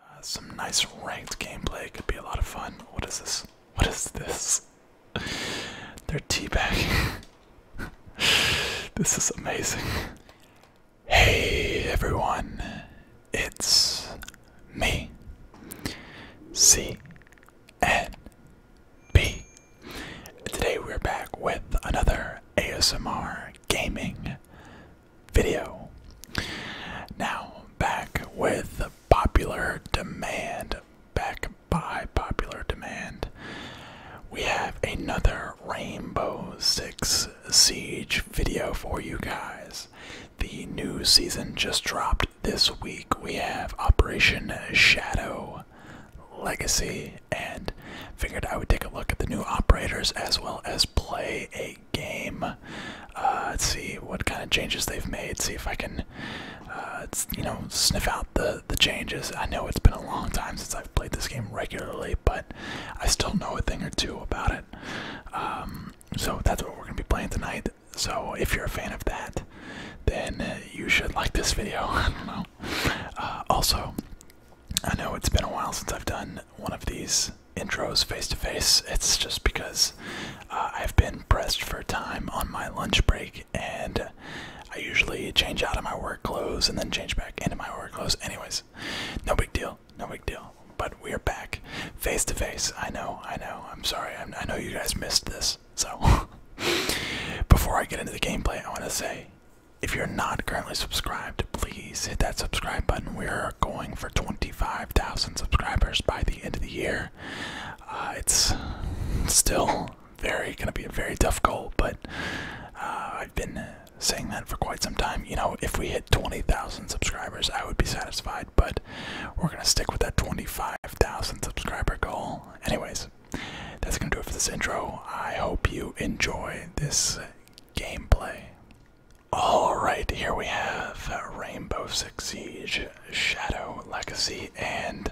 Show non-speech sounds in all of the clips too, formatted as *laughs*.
Uh, some nice ranked gameplay could be a lot of fun. What is this? What is this? *laughs* They're teabagging. *laughs* this is amazing. Hey everyone, it's me, C N B. Today we're back with another ASMR gaming video. Now, back with popular demand, back by popular demand, we have another Rainbow Six Siege video for you guys. The new season just dropped this week. We have Operation Shadow Legacy and figured I would take a look at the new operators as well as play a game. Uh, let's see what kind of changes they've made. See if I can, uh, you know, sniff out the the changes. I know it's been a long time since I've played this game regularly, but I still know a thing or two about it. Um, so that's what we're gonna be playing tonight. So if you're a fan of that, then you should like this video. *laughs* Uh, also, I know it's been a while since I've done one of these intros face to face, it's just because uh, I've been pressed for time on my lunch break, and I usually change out of my work clothes and then change back into my work clothes. Anyways, no big deal, no big deal. But we're back face to face. I know, I know. I'm sorry. I know you guys missed this. So, *laughs* before I get into the gameplay, I want to say if you're not currently subscribed, please hit that subscribe button. We are going for 25,000 subscribers by the end of the year. Uh, it's still very going to be a very tough goal, but uh, I've been saying that for quite some time. You know, if we hit 20,000 subscribers, I would be satisfied, but we're going to stick with that 25,000 subscriber goal. Anyways, that's going to do it for this intro. I hope you enjoy this gameplay. Alright, here we have Rainbow Six Siege, Shadow Legacy, and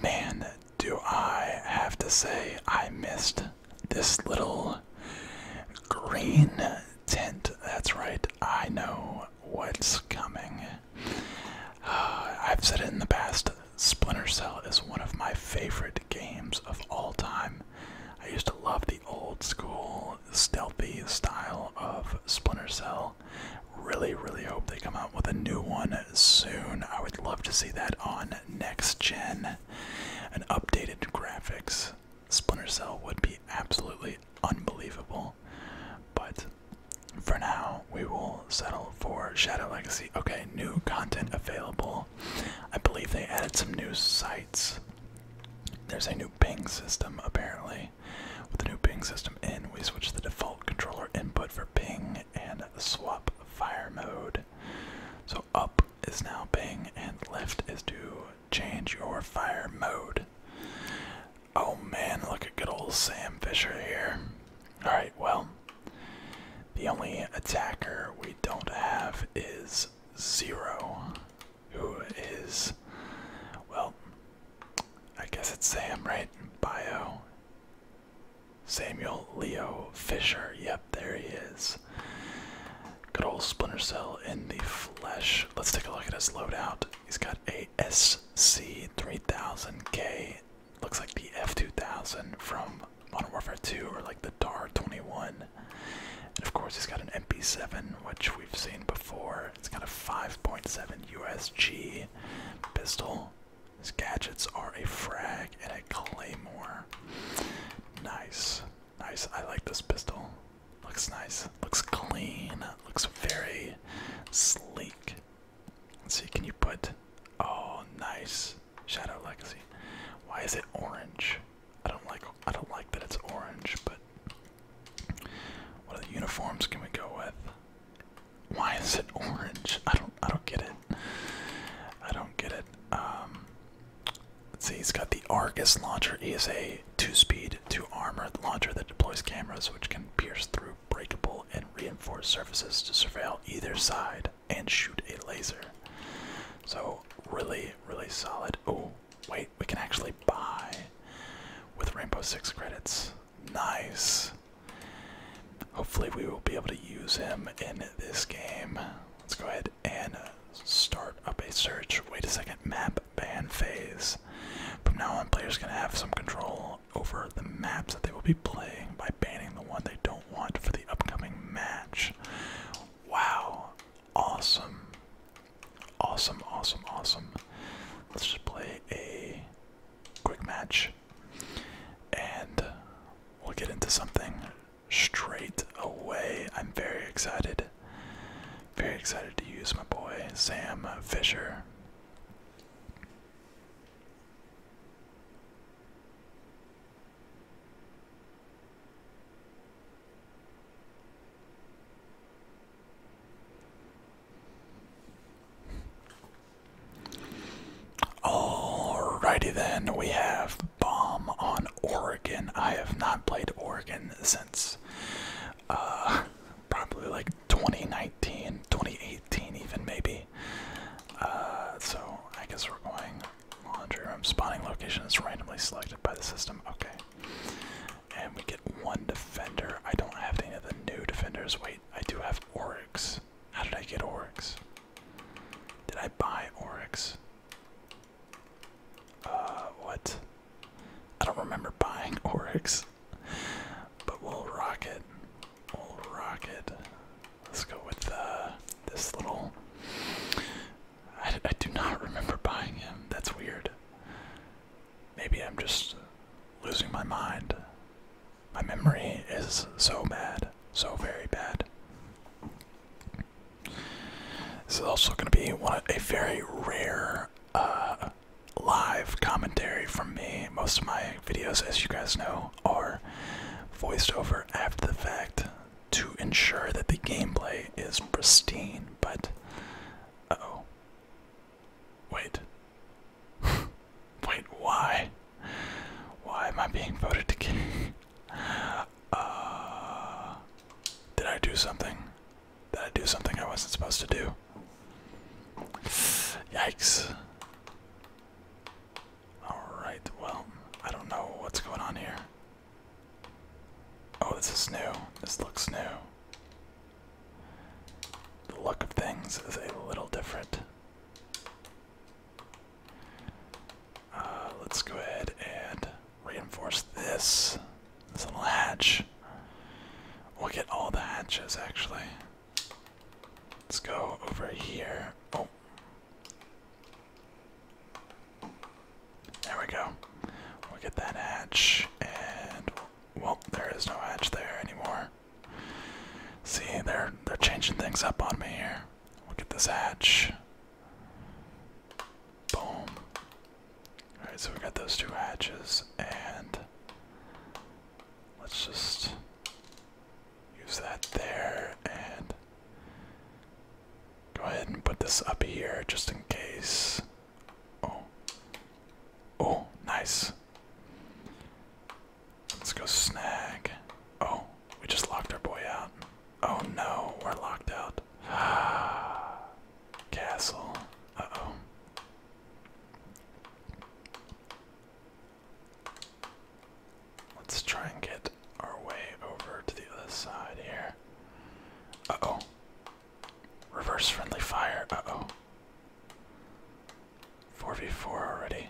man, do I have to say I missed this little green tent. That's right, I know what's coming. Uh, I've said it in the past, Splinter Cell is one of my favorite games of all time. I used to love the old school stealthy style of Splinter Cell. Really, really hope they come out with a new one soon. I would love to see that on next gen. An updated graphics Splinter Cell would be absolutely unbelievable. But for now, we will settle for Shadow Legacy. Okay, new content available. I believe they added some new sites. There's a new ping system apparently. With the new ping system in, we switch the default controller input for ping and swap fire mode. So up is now ping and left is to change your fire mode. Oh man, look at good old Sam Fisher here. Alright, well, the only attacker we don't have is zero who is, well, I guess it's Sam, right? Bio. Samuel Leo Fisher. Yep, there he is. Good old Splinter Cell in the flesh. Let's take a look at his loadout. He's got a SC3000K. Looks like the F2000 from Modern Warfare 2 or like the DAR 21. And of course, he's got an MP7, which we've seen before. It's got a 5.7 USG pistol. His gadgets are a frag and a claymore. Nice. Nice. I like this pistol. Looks nice. Looks clean. Looks very sleek. Let's see, can you put. Oh, nice. Shadow Legacy. Why is it orange? I don't like I don't like that it's orange, but what are the uniforms can we go with? Why is it orange? I don't I don't get it. I don't get it. Um Let's see, he's got the Argus launcher. He a two-speed, two-armored launcher that deploys cameras which can pierce through breakable and reinforced surfaces to surveil either side and shoot a laser. So really, really solid. Oh, wait, we can actually buy with Rainbow Six credits. Nice. Hopefully, we will be able to use him in this game. Let's go ahead and start up a search. Wait a second, map ban phase. From now on, players can have some control over the maps that they will be playing by banning the one they don't want for the upcoming match. Wow, awesome. Awesome, awesome, awesome. Let's just play a quick match and we'll get into something straight away. I'm very excited. Very excited to use my boy Sam Fisher. Alrighty then, we have Bomb on Oregon. I have not played Oregon since uh, probably like 2019, 2018 even maybe. Uh, so I guess we're going Laundry room. Spawning location is randomly selected by the system. Okay. And we get one defender. I don't have any of the new defenders. Wait, I do have Oryx. How did I get Oryx? Did I buy Oryx? Uh, what? I don't remember buying *laughs* Oryx. But we'll rock it. We'll rock it. Let's go with uh, this little I, do not remember buying him. That's weird. Maybe I'm just losing my mind. My memory is so bad, so very bad. This is also going to be one a very rare uh, live commentary from me. Most of my videos, as you guys know, are voiced over after the fact to ensure that the gameplay is pristine, but. oh. Wait. *laughs* Wait, why? Why am I being voted to king? *laughs* uh, did I do something? Did I do something I wasn't supposed to do? Yikes. Alright, well, I don't know what's going on here. Oh, this is new. This looks new. The look of things is a little different. Uh, let's go ahead and reinforce this. This little hatch. We'll get all the hatches actually. Let's go over here. Oh. There we go. We'll get that hatch, and well, there is no hatch there anymore. See, they're they're changing things up on me here. We'll get this hatch. Boom. Alright, so we got those two hatches, and let's just use that there and Go ahead and put this up here just in case. Oh. Oh, nice. Let's go snag. Oh, we just locked our boy out. Oh no, we're locked out. *gasps* Castle. Uh oh. Let's try and get our way over to the other side here. Uh oh. Reverse friendly fire. Uh oh. 4v4 already.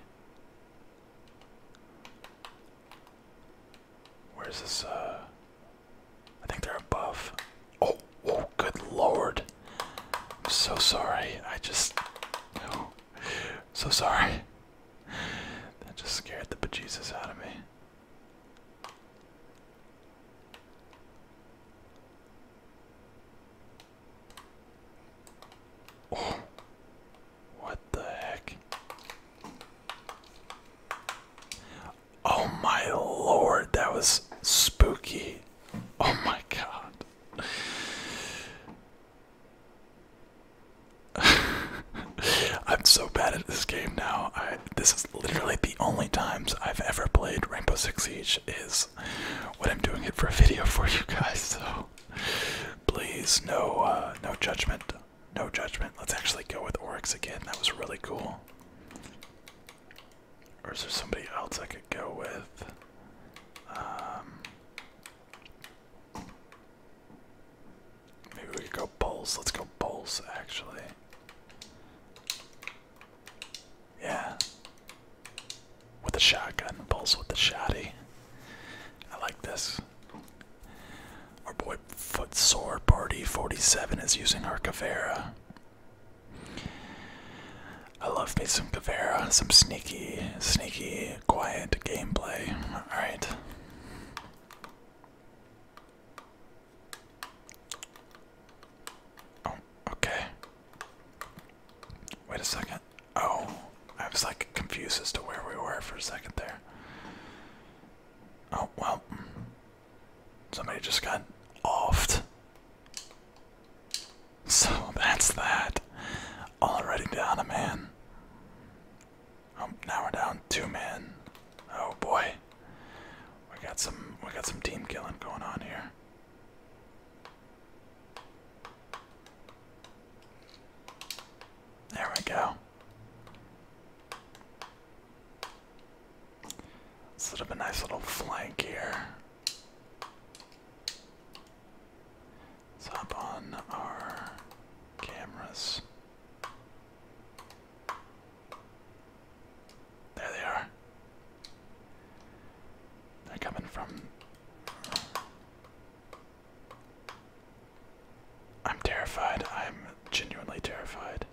Where's this? Uh, I think they're above. Oh, oh, good lord. I'm so sorry. I just. So sorry. That just scared the bejesus out of me what the heck? Oh my lord, that was spooky. Oh my god. *laughs* I'm so bad at this game now. this is literally the only times I've ever played Rainbow Six Siege is when I'm doing it for a video for you guys. So please, no, uh, no judgment, no judgment. Let's actually go with Oryx again. That was really cool. Or is there somebody else I could go with? Um, Maybe we could go bowls. Let's go bowls, actually. Yeah. With a shotgun. Bowls with the shotty. I like this. Our boy Foot Sword Party 47 is using our Cavera. I love me some Cavera, some sneaky, sneaky, quiet gameplay. Alright. Oh, okay. Wait a second. Oh, I was like confused as to where we were for a second there. Oh, well. Somebody just got offed. *laughs* So that's that. Already down a man. Um, now we're down two men. Oh boy, we got some we got some team killing going on here. There we go. Set up a nice little flank here. let on our cameras. There they are. They're coming from. I'm terrified. I'm genuinely terrified.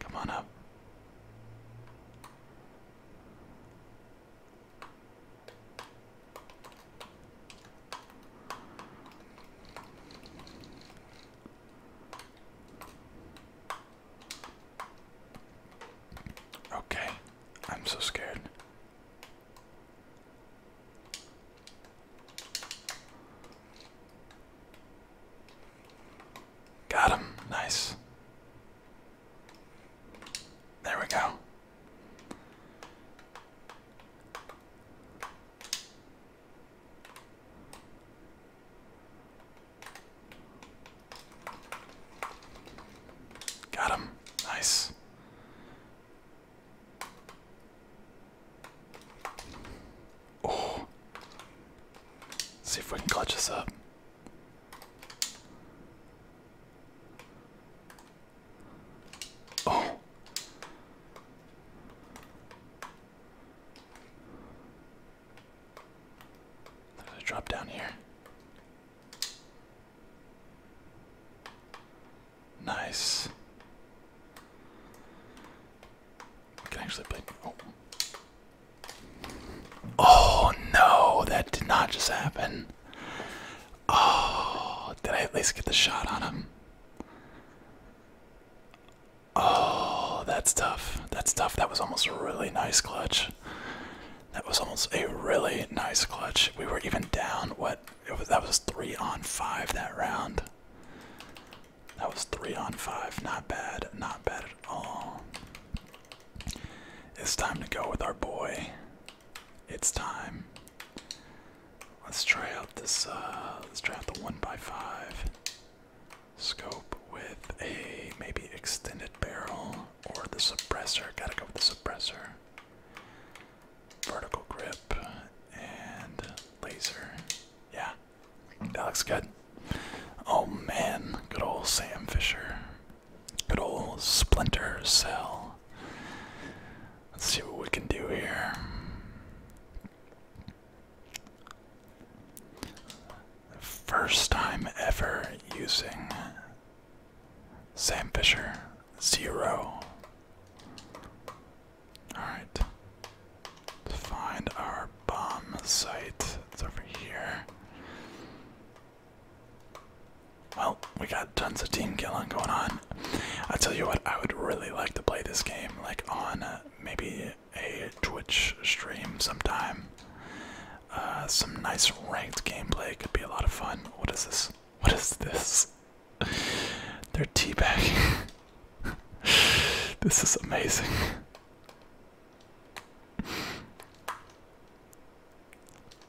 Come on up. Okay, I'm so scared. Got him. Nice. There we go. Got him. Nice. Oh. See if we can clutch this up. Oh. There's a drop down here. Nice. We can actually play. Oh. Oh no, that did not just happen. Oh, did I at least get the shot on him? Oh, that's tough. That's tough. That was almost a really nice clutch. That was almost a really nice clutch. We were even down. What? that was three on five that round. That was three on five. Not bad. Not bad at It's time to go with our boy. It's time. Let's try out this uh let's try out the one by five scope with a maybe extended barrel or the suppressor. Gotta go with the suppressor. Vertical grip and laser. Yeah. That looks good. Oh man, good old Sam Fisher. Good old splinter cell. Let's see what we can do here. First time ever using Sam Fisher Zero. Alright. Let's find our bomb site. It's over here. Well, we got tons of team killing going on. I tell you what, I would really like to play this game, like on uh, maybe a Twitch stream sometime. Uh, some nice ranked gameplay could be a lot of fun. What is this? What is this? *laughs* They're teabagging. *laughs* this is amazing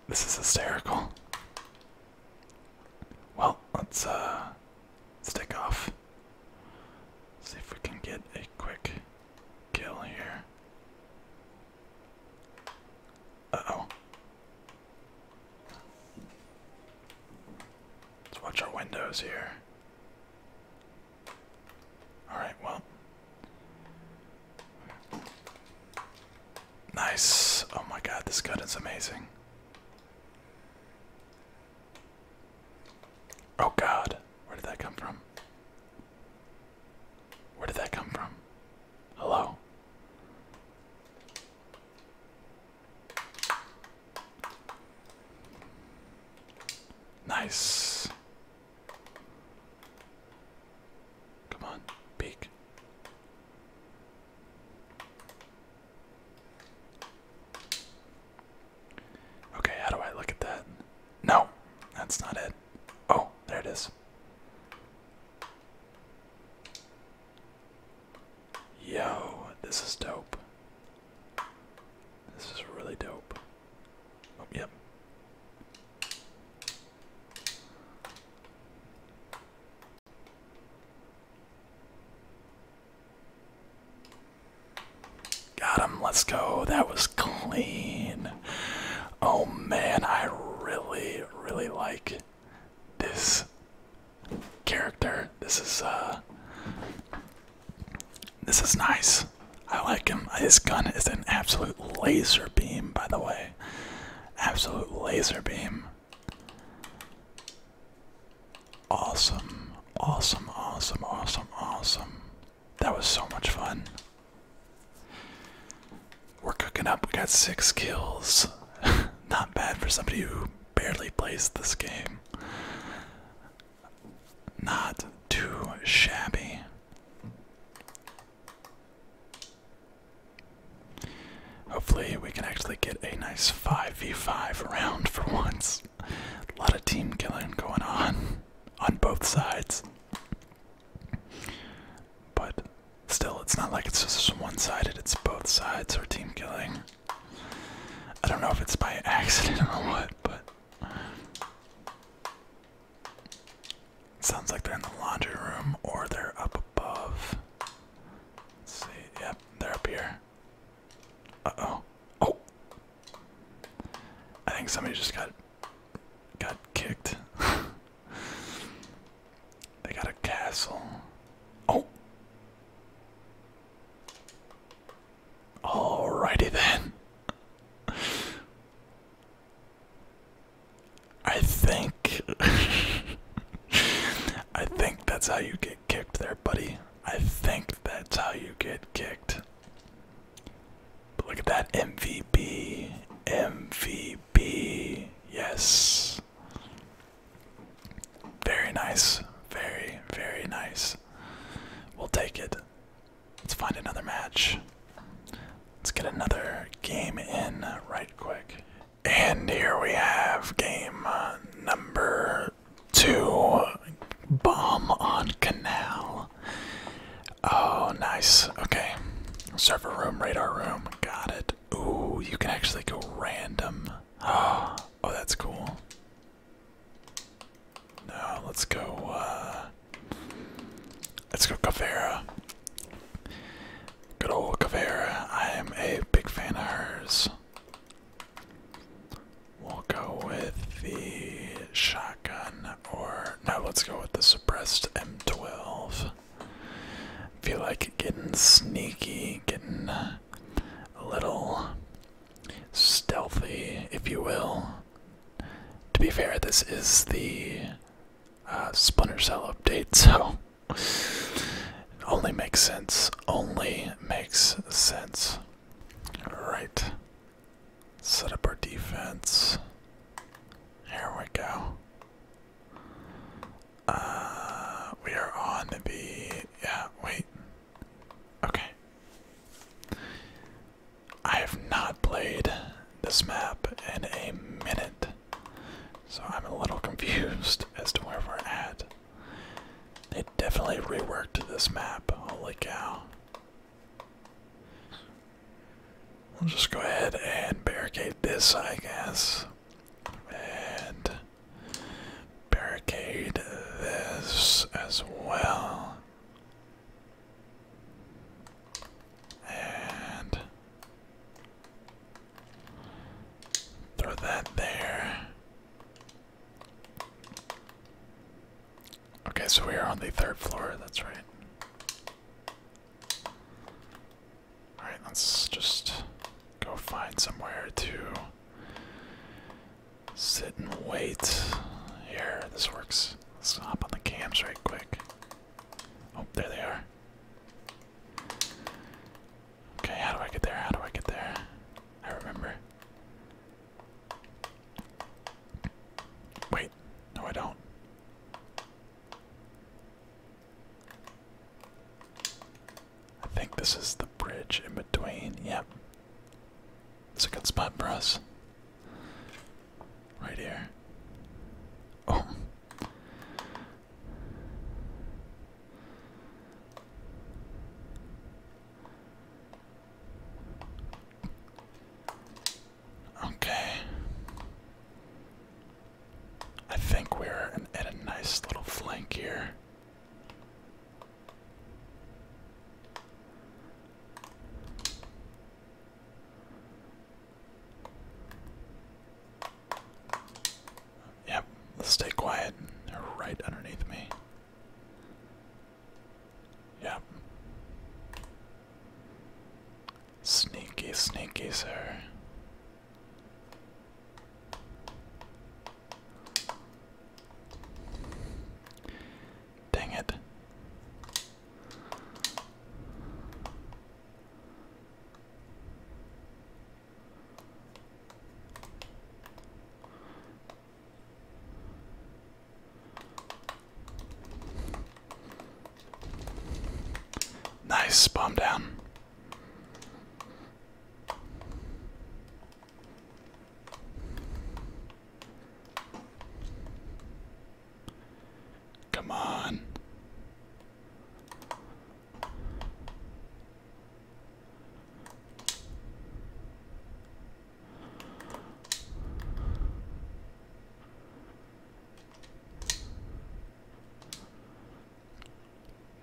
this is hysterical. Well, let's uh stick off. See if we can get a quick kill here. Uh-oh. Let's watch our windows here. Alright, well. Nice. Oh my god, this gun is amazing. Oh god, where did that come from? Where did that come from? Hello? Nice. Come on, peek. Okay, how do I look at that? No, that's not it. Oh, there it is. Yo, this is dope. This is really dope. Oh, yep. Got him. Let's go. That was clean. Oh man, I really, really like this character. This is uh this is nice. I like him. His gun is an absolute laser beam, by the way. Absolute laser beam. Awesome. Awesome, awesome, awesome, awesome. That was so much fun. We're cooking up. We got six kills. *laughs* Not bad for somebody who barely plays this game. Not too shabby. Hopefully, we can actually get a nice 5v5 round for once. A lot of team killing going on on both sides. But still, it's not like it's just one sided, it's both sides are team killing. I don't know if it's by accident or what, but Sounds like they're in the laundry room or they're up above. Let's see. Yep, they're up here. Uh oh. Oh. I think somebody just got got kicked. *laughs* they got a castle. Oh. Alrighty then. I think. *laughs* I think that's how you get kicked there, buddy. I think that's how you get kicked. look at that MVP. MVP. Yes. Very nice. Very, very nice. We'll take it. Let's find another match. Let's get another game in right quick. And here we have game uh, number two Bomb on Canal. Oh, nice. Okay. Server room, radar room. Got it. Ooh, you can actually go random. Oh, *gasps* oh that's cool. No, let's go, uh, let's go Cavera. Good old Cavera. I am a big fan of hers. We'll go with the shotgun, or no, let's go with the suppressed M12. Feel like getting sneaky, getting a little stealthy, if you will to be fair, this is the uh, Splinter Cell update, *laughs* so it only makes sense. Only makes sense. Right. Set up our defense. Here we go. Uh, we are on the. Yeah, wait. Okay. I have not played this map in a minute, so I'm a little *laughs* confused as to where we're at. They definitely reworked this map, holy cow. We'll just go ahead and barricade this, I guess. And barricade this as well. And throw that there. Okay, so we are on the third floor, that's right. Alright, let's just go find somewhere to sit and wait. Here, this works. Stop on the cams right quick. Oh, there they are. Okay, how do I get there? How do I get there? I remember. Wait, no, I don't. I think this is the bridge in between. Yep. It's a good spot for us. Right here. Oh. Okay. I think we're at a nice little flank here. Yep, let's stay quiet. They're right underneath me. Yep. Sneaky, sneaky, sir. Dang it. Nice, bomb down. Come on.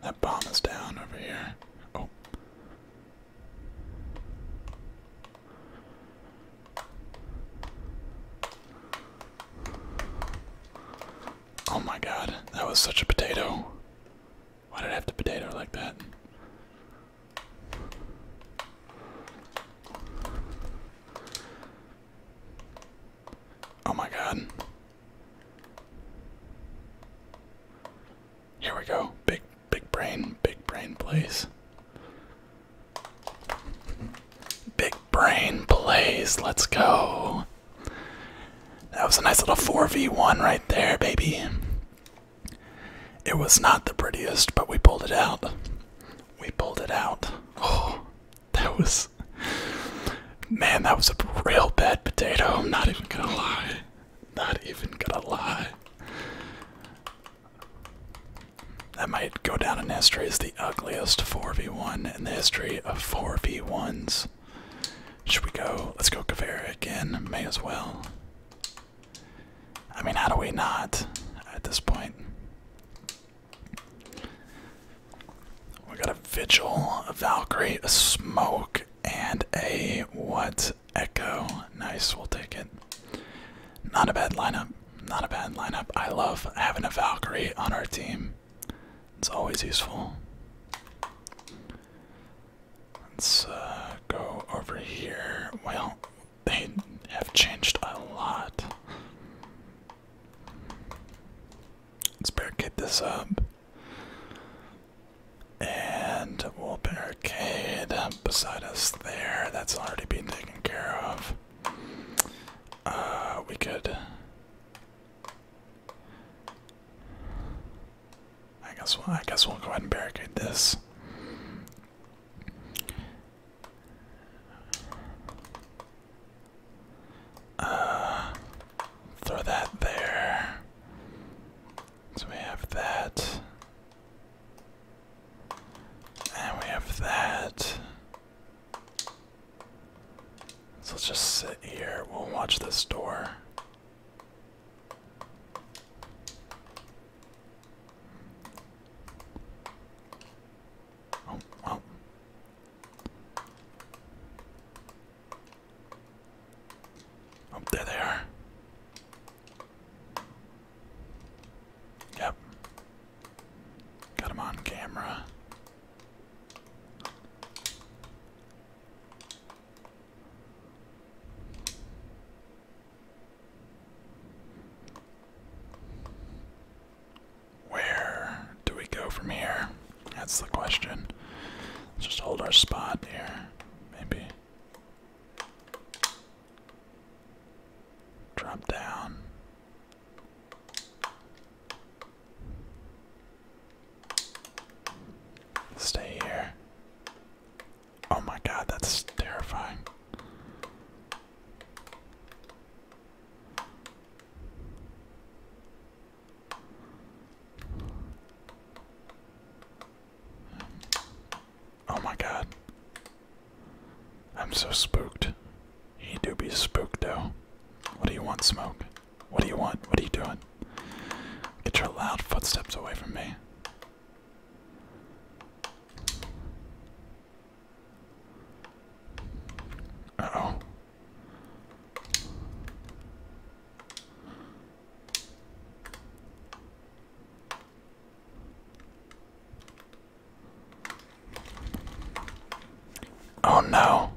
That bomb is down over here. Oh, Oh my god, that was such a potato. Why did I have to potato like that? Oh my god. Here we go. Big Big brain, big brain plays. Big brain plays, let's go. That was a nice little 4v1 right there, baby. It was not the prettiest, but we pulled it out. We pulled it out. Oh, that was. Man, that was a real bad potato. I'm not even gonna lie. Not even gonna lie. That might go down in history as the ugliest 4v1 in the history of 4v1s. Should we go? Let's go Kavera again. May as well. I mean, how do we not at this point? We got a Vigil, a Valkyrie, a Smoke, and a what? Echo. Nice, we'll take it. Not a bad lineup. Not a bad lineup. I love having a Valkyrie on our team. It's always useful. Let's uh, go over here. Well, they have changed a lot. Let's barricade this up. And wall barricade beside us there. That's already been taken care of. Uh, we could. I guess. Well, I guess we'll go ahead and barricade this. Uh, throw that there. So we have that. And we have that. So let's just sit here. We'll watch this door. Oh, oh. Oh, there they are. Yep. Got him on camera. Where do we go from here? That's the question. just hold our spot here, maybe. Drop down. Stay here. Oh my god, that's terrifying. Oh my god. I'm so spooked. He do be spooked though. What do you want, Smoke? What do you want? What are you doing? Get your loud footsteps away from me. oh. Oh no.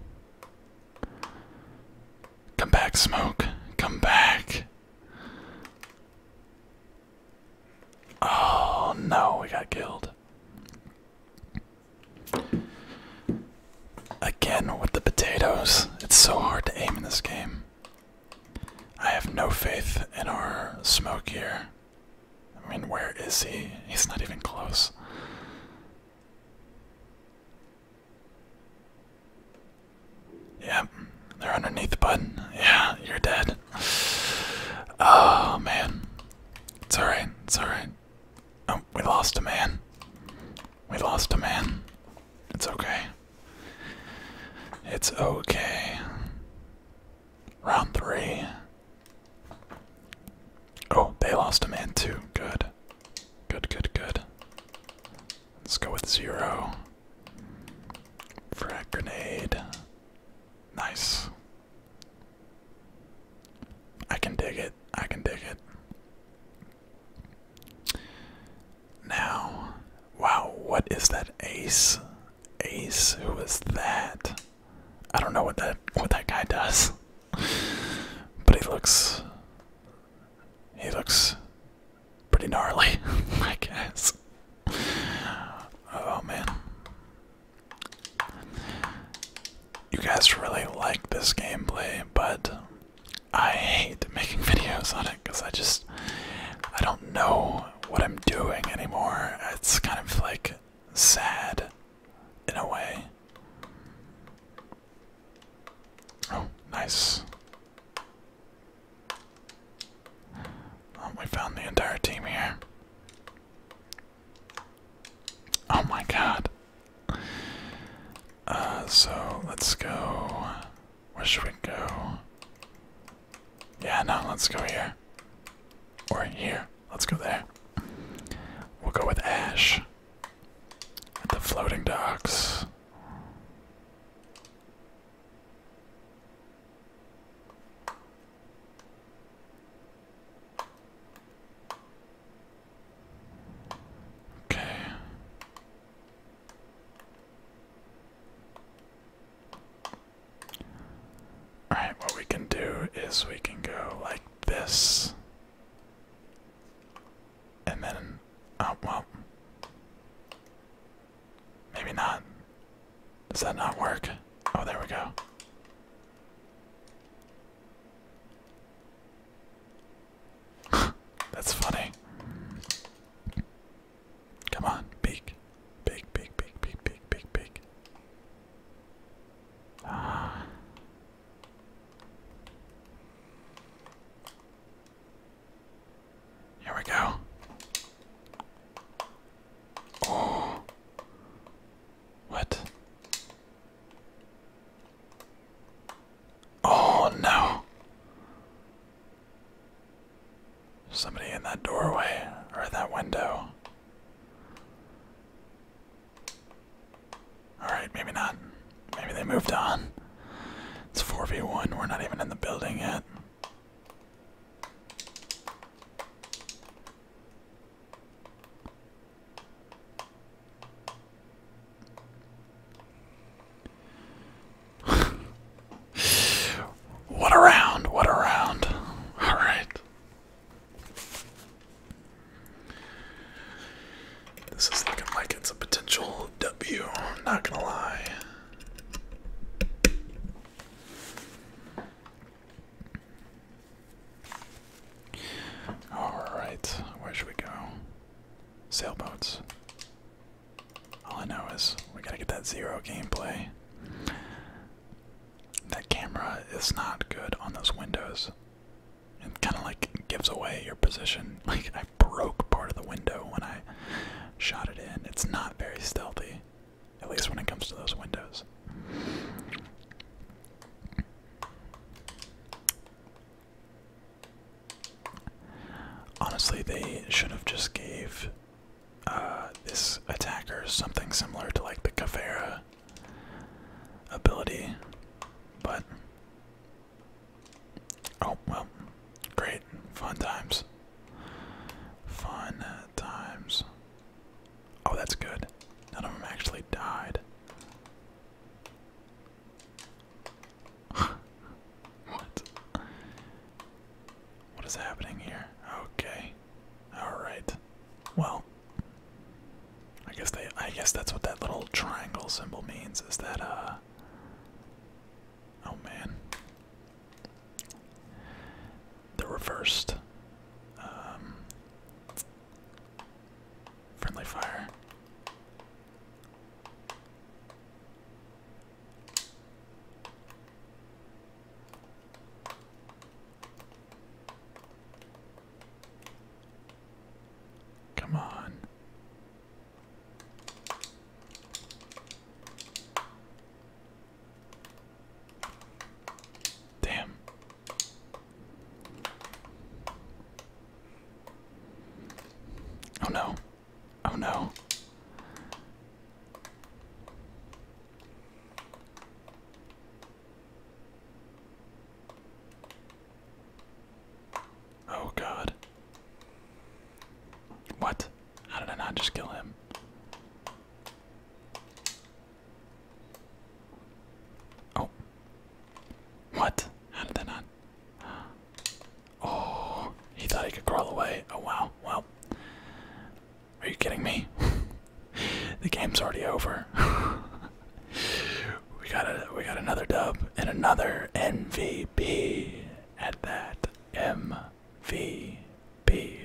Come back, Smoke. Come back. Oh no, we got killed. Again with the potatoes. It's so hard to aim in this game. I have no faith in our smoke here. I mean, where is he? He's not even close. Yeah, they're underneath the button. Yeah, you're dead. Oh, man. It's alright, it's alright. Oh, we lost a man. We lost a man. It's okay. It's okay. Round three. Oh, they lost a man too. Good. Good, good, good. Let's go with zero. Frag grenade. Nice. I can dig it. I can dig it. Now, wow, what is that ace? Ace, who was that? I don't know what that what that guy does. but he looks he looks pretty gnarly, *laughs* I guess. Oh man. You guys really like this gameplay, but I hate making *laughs* videos on it because I just I don't know what I'm doing anymore. It's kind of like sad in a way. Oh, nice. Oh, we found the entire team here. Oh my god. Uh, so let's go. Where should we go? Yeah, no, let's go here. Or here. Let's go there. We'll go with Ash. At the floating docks. Okay. Alright, what we can do is we can go like this. And then, oh, well. Maybe not. Does that not work? Oh, there we go. *laughs* That's funny. Come on, peek. Peek, peek, peek, peek, peek, peek, peek. Ah. Here we go. Oh. What? Oh no. Somebody in that doorway or that window. Alright, maybe not. Maybe they moved on. It's 4v1, we're not even in the building yet. *laughs* what around? what around? Alright. This is looking like it's a potential W. not gonna lie. All right, where should we go? Sailboats. All I know is we gotta get that zero gameplay. That camera is not good on those windows. It kind of like gives away your position. *laughs* Like I broke part of the window when I shot it in. It's not very stealthy, at least when it comes to those windows. Honestly, they should have just gave uh, this attacker something similar to like the Kavera ability, but oh well, great, fun times, fun times. Oh, that's good. None of them actually died. *laughs* What? What is happening here? Okay. Alright. Well I guess they I guess that's what that little triangle symbol means, is that uh Oh man. they reversed. Um, friendly fire. Come on. Damn. Oh no. Oh no. Oh god. What? How did I not just kill him? Oh. What? How did that not? Oh, he thought he could crawl away. Oh, wow. Well, are you kidding me? *laughs* the game's already over. *laughs* we got a we got another dub and another MVP at that MVP.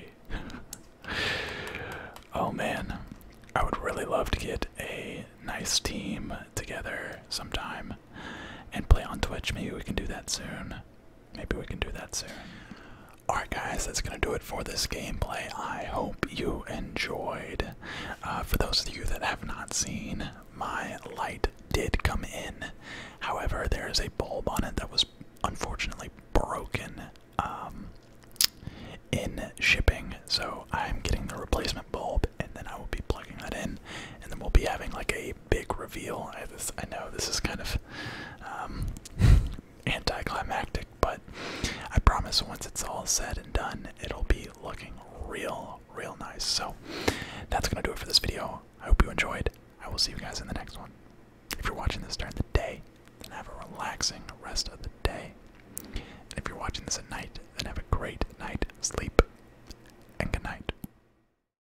*laughs* oh man, I would really love to get a nice team together sometime and play on Twitch. Maybe we can do that soon maybe we can do that soon. Alright, guys, that's going to do it for this gameplay. I hope you enjoyed. Uh, for those of you that have not seen, my light did come in. However, there is a bulb on it that was unfortunately broken um, in shipping. So I'm getting the replacement bulb, and then I will be plugging that in, and then we'll be having like a big reveal. I, know this is kind of um, *laughs* anticlimactic, but I promise once it's all said and done, it'll be looking real, real nice. So that's going to do it for this video. I hope you enjoyed. I will see you guys in the next one. If you're watching this during the day, then have a relaxing rest of the day. And if you're watching this at night, then have a great night, sleep, and good night.